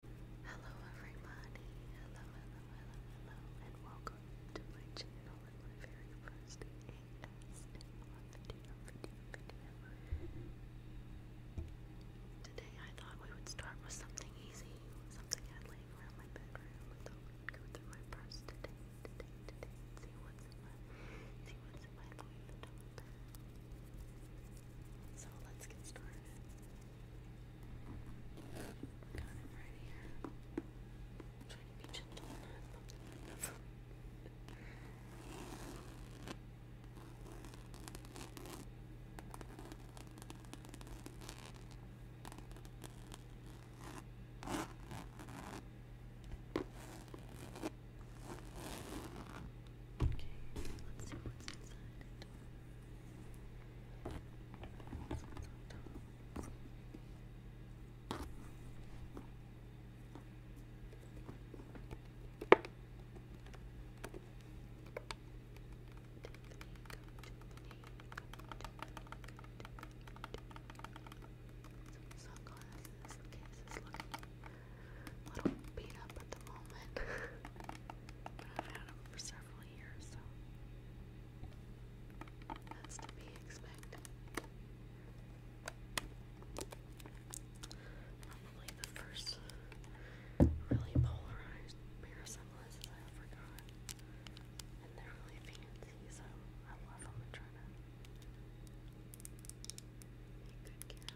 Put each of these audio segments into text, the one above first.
Hello everybody, hello, hello, hello, hello, and welcome to my channel my very first ASMR video, Today I thought we would start with something easy, something I had laying around my bedroom. I would go through my purse today, today, today, see what's in my, see what's in my life. So let's get started. Got him right here. I'm trying to be gentle and not bump the window. Okay, let's see what's inside it. What's on top? Some sunglasses. The case is looking a little beat up at the moment. I've had them for several years, so that's to be expected. Probably the first really polarized pair I ever got. And they're really fancy, so I love them and try to make good care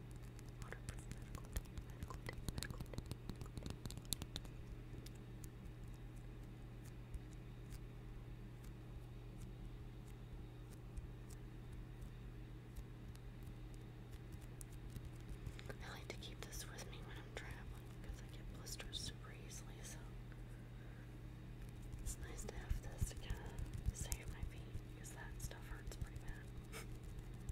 Waterproof medical tape, I like to keep this with me when I'm traveling because I get blisters super easily, so it's nice to have this to kind of save my feet because that stuff hurts pretty bad.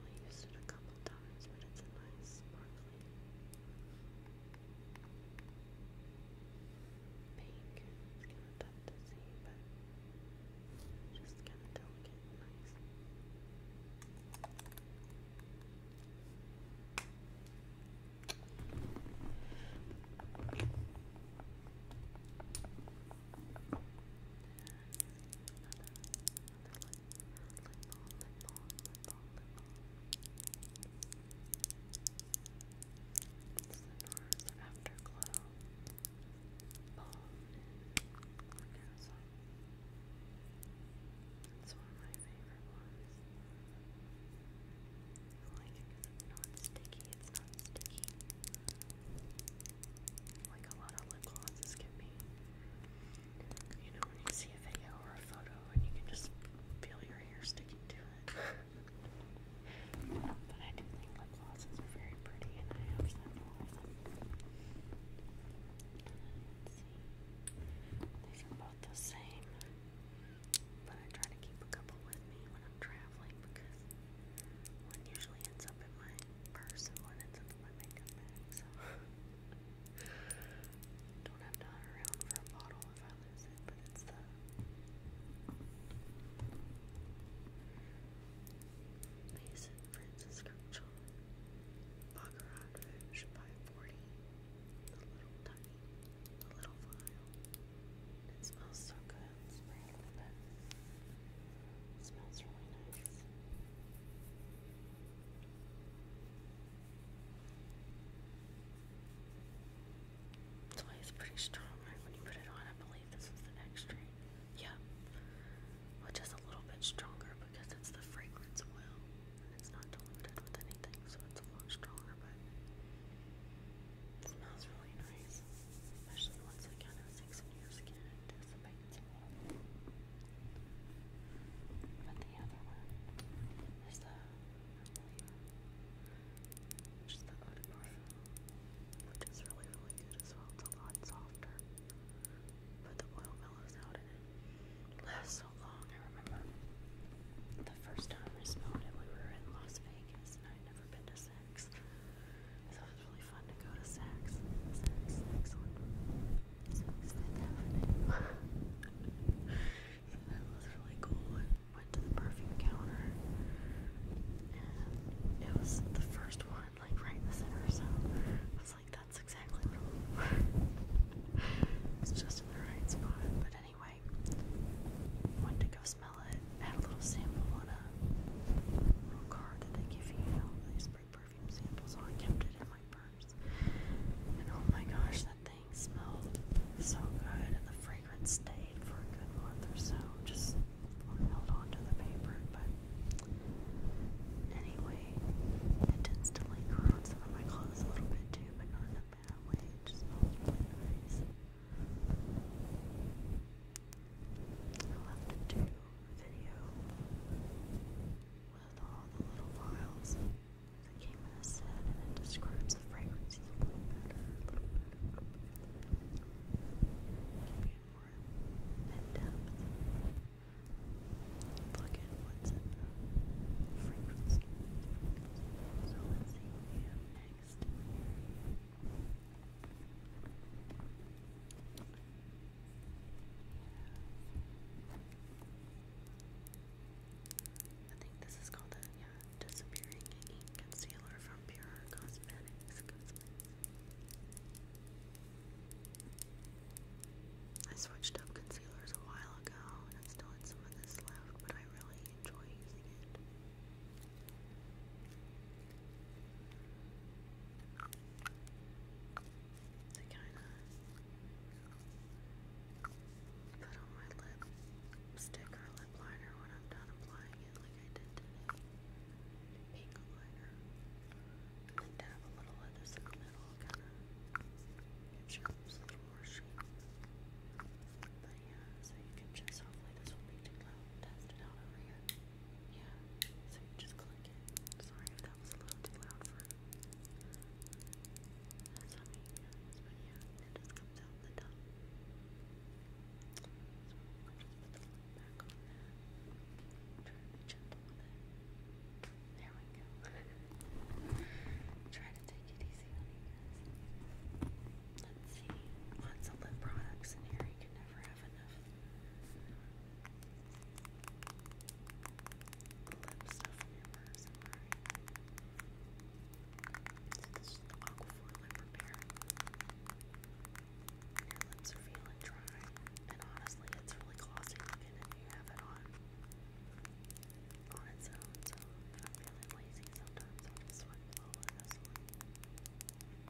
I've used it a couple times, but it's a nice sparkly pink. It's kind of tough to see, but just kind of delicate and Afterglow Balm in Lacazon. It's one of my favorite ones. like because it's not sticky, it's not sticky like a lot of lip glosses can be. You know, when you see a video or a photo and you can just feel your hair sticking to it. but I do think lip glosses are very pretty and I have several of them. Let's see. These are both the same. But I try to keep a couple with me when I'm traveling because one usually ends up in my purse and one ends up in my makeup bag, don't have to around for a bottle if I lose it, but it's the Mason Francis Churchill Baccarat Rouge by 40 The Little Tiny, The Little Vial. It smells so good and It smells really nice. pretty strong, When you put it on, I believe this was the extra. Yeah. Which is a little bit stronger because it's the fragrance oil and it's not diluted with anything, so it's a lot stronger, but smells really nice. Especially once it plastics on But the other one is the, which is really, really good as well. It's a lot softer, but the oil mellows so long. I remember the first time I smelled it, we were in Las Vegas, and I'd never been to Saks. So it was really fun to go to Saks. Saks, was really cool. went to the perfume counter, it was the first one, like right in the center. So I was like, that's exactly what I'm It's just in the right spot. But anyway, went to go smell it. Add a little sample on a little card that they give you. you know, they spray perfume samples. So I kept it in my purse. And oh my gosh, that thing smelled so good. And the fragrance stayed for a good month or so. Just held on to the paper. But anyway, it tends to linger on some of my clothes a little bit too, but not in a bad way. It just smells really nice. I'll have to video with all the little vials that came in a and it describes the fragrances look at what's in the fragrance. So let's see what next. I think this is called a disappearing concealer from Pure Cosmetics. I switched up concealers a while ago and I still had some of this left, but I really enjoy using it to kind of put on my lipstick or lip liner when I'm done applying it, like I did today. Pink liner. then dab a little of this in the middle, kind of gives your lips a little more shape. But yeah, so you can just, hopefully this will be too loud. Test it out over here. Yeah, so you just click it. Sorry that was a little too loud for that's how but yeah, just comes out the top. There we go. Try to take it easy on you guys. Let's see. Lots of lip products in here. You can never lip stuff in your purse, am lips are feeling dry, and honestly, it's really glossy looking if you have it on on its own, so I'm feeling lazy sometimes i just swipe all of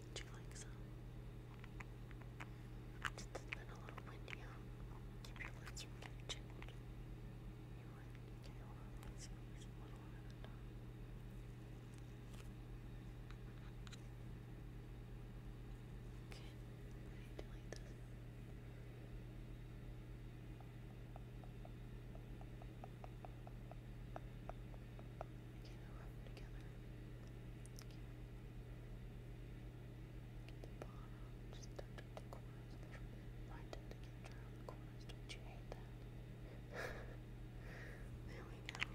Would you like some? It's been a little windy Keep your lips from You would? Okay, hold a little at a time. Okay, you just touch the corners a little bit. I the corners, don't you hate that? there we go.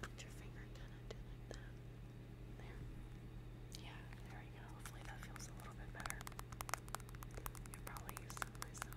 get your finger kind that. There. Yeah, there we go. Hopefully that feels a little bit better. You'll probably use myself.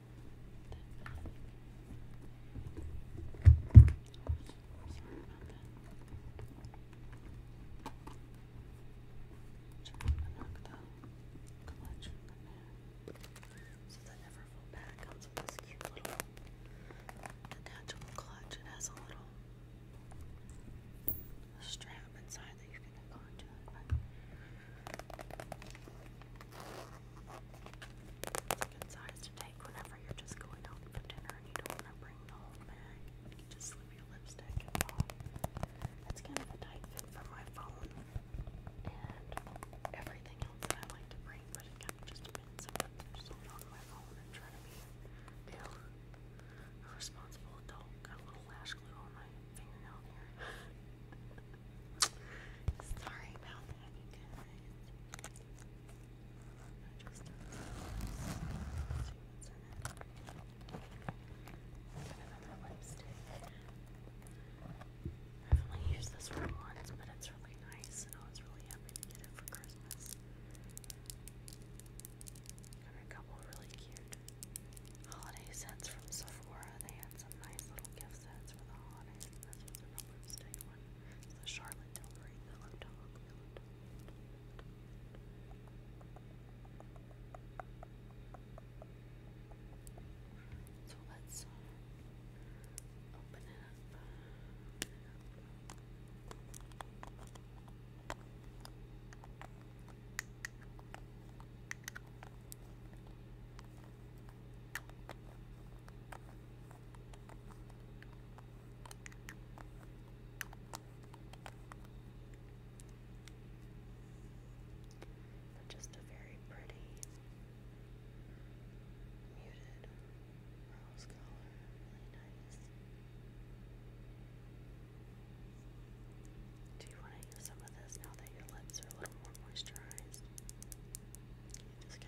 collection in there. So the Neverfull bag comes with this cute little detachable clutch. It has a little strap inside that you can hook it's a good size to take whenever you're just going out for dinner and you don't want to bring the whole bag. just slip your lipstick and It's kind of a tight fit for my phone and everything else that I like to bring, but it kind just depends on so on my phone and try to be a responsible adult. Got a little lash glue on my fingernail here. Sorry about back, guys. I have only used this one once, but it's really nice, and I was really happy to get it for Christmas. Got a couple really cute holiday sets from Sephora. They had some nice little gift sets for the holidays. this was a real lipstick one. The Charlotte Tilbury Pillow Talk. So let's uh, open it up just a very pretty muted rose color, really nice. Do you want to use some of this now that your lips are a little more moisturized?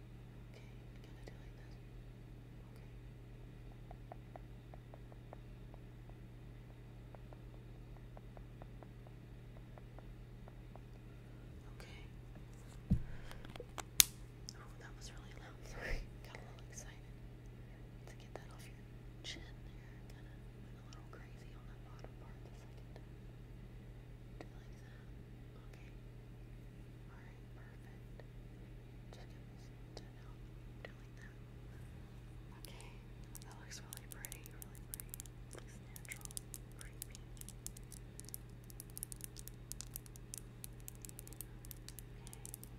Okay, Okay. Okay. Oh, that was really loud. Got a little excited. To get that off your chin there. Kinda went a little crazy on that bottom part the second like that. Okay. Alright, perfect. Just give this now doing that. Okay. That looks really pretty, really pretty. Looks natural. Pretty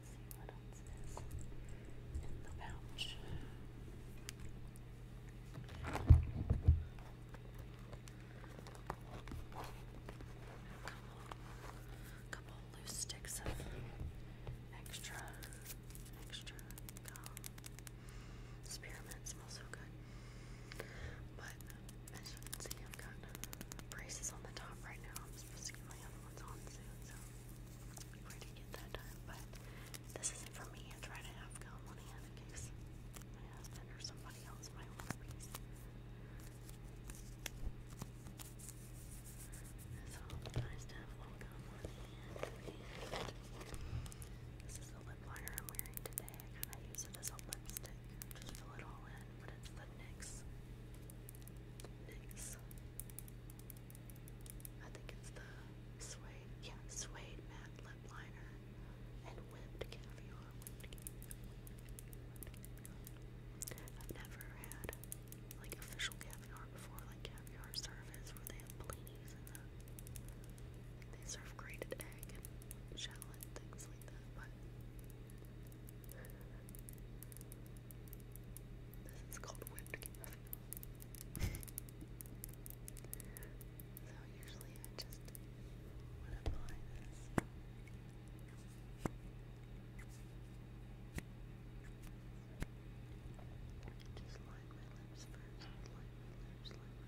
Okay, what else is in the pouch a couple loose sticks of extra, extra gum. Spearmint smells so good. But as you can see, I've got braces on the top right now. I'm supposed to get my other ones on soon, so I'm ready to get that done. But this isn't for me. I try to have gum on hand in case my husband or somebody somebody else oh, this is the lip liner I'm wearing today. I kind of use it as a lipstick. Just fill it all in, it's the NYX. think it's the suede, yeah, suede matte lip liner and whipped caviar, I've never had like official caviar before, like caviar service where they have blinis and they serve grated egg and shallot things like that, this is called whipped caviar. So usually I just would apply this. Just line my lips first. line my lips, line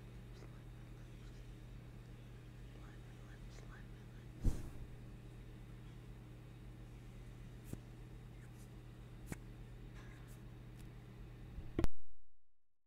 my lips. Line my lips, line my lips.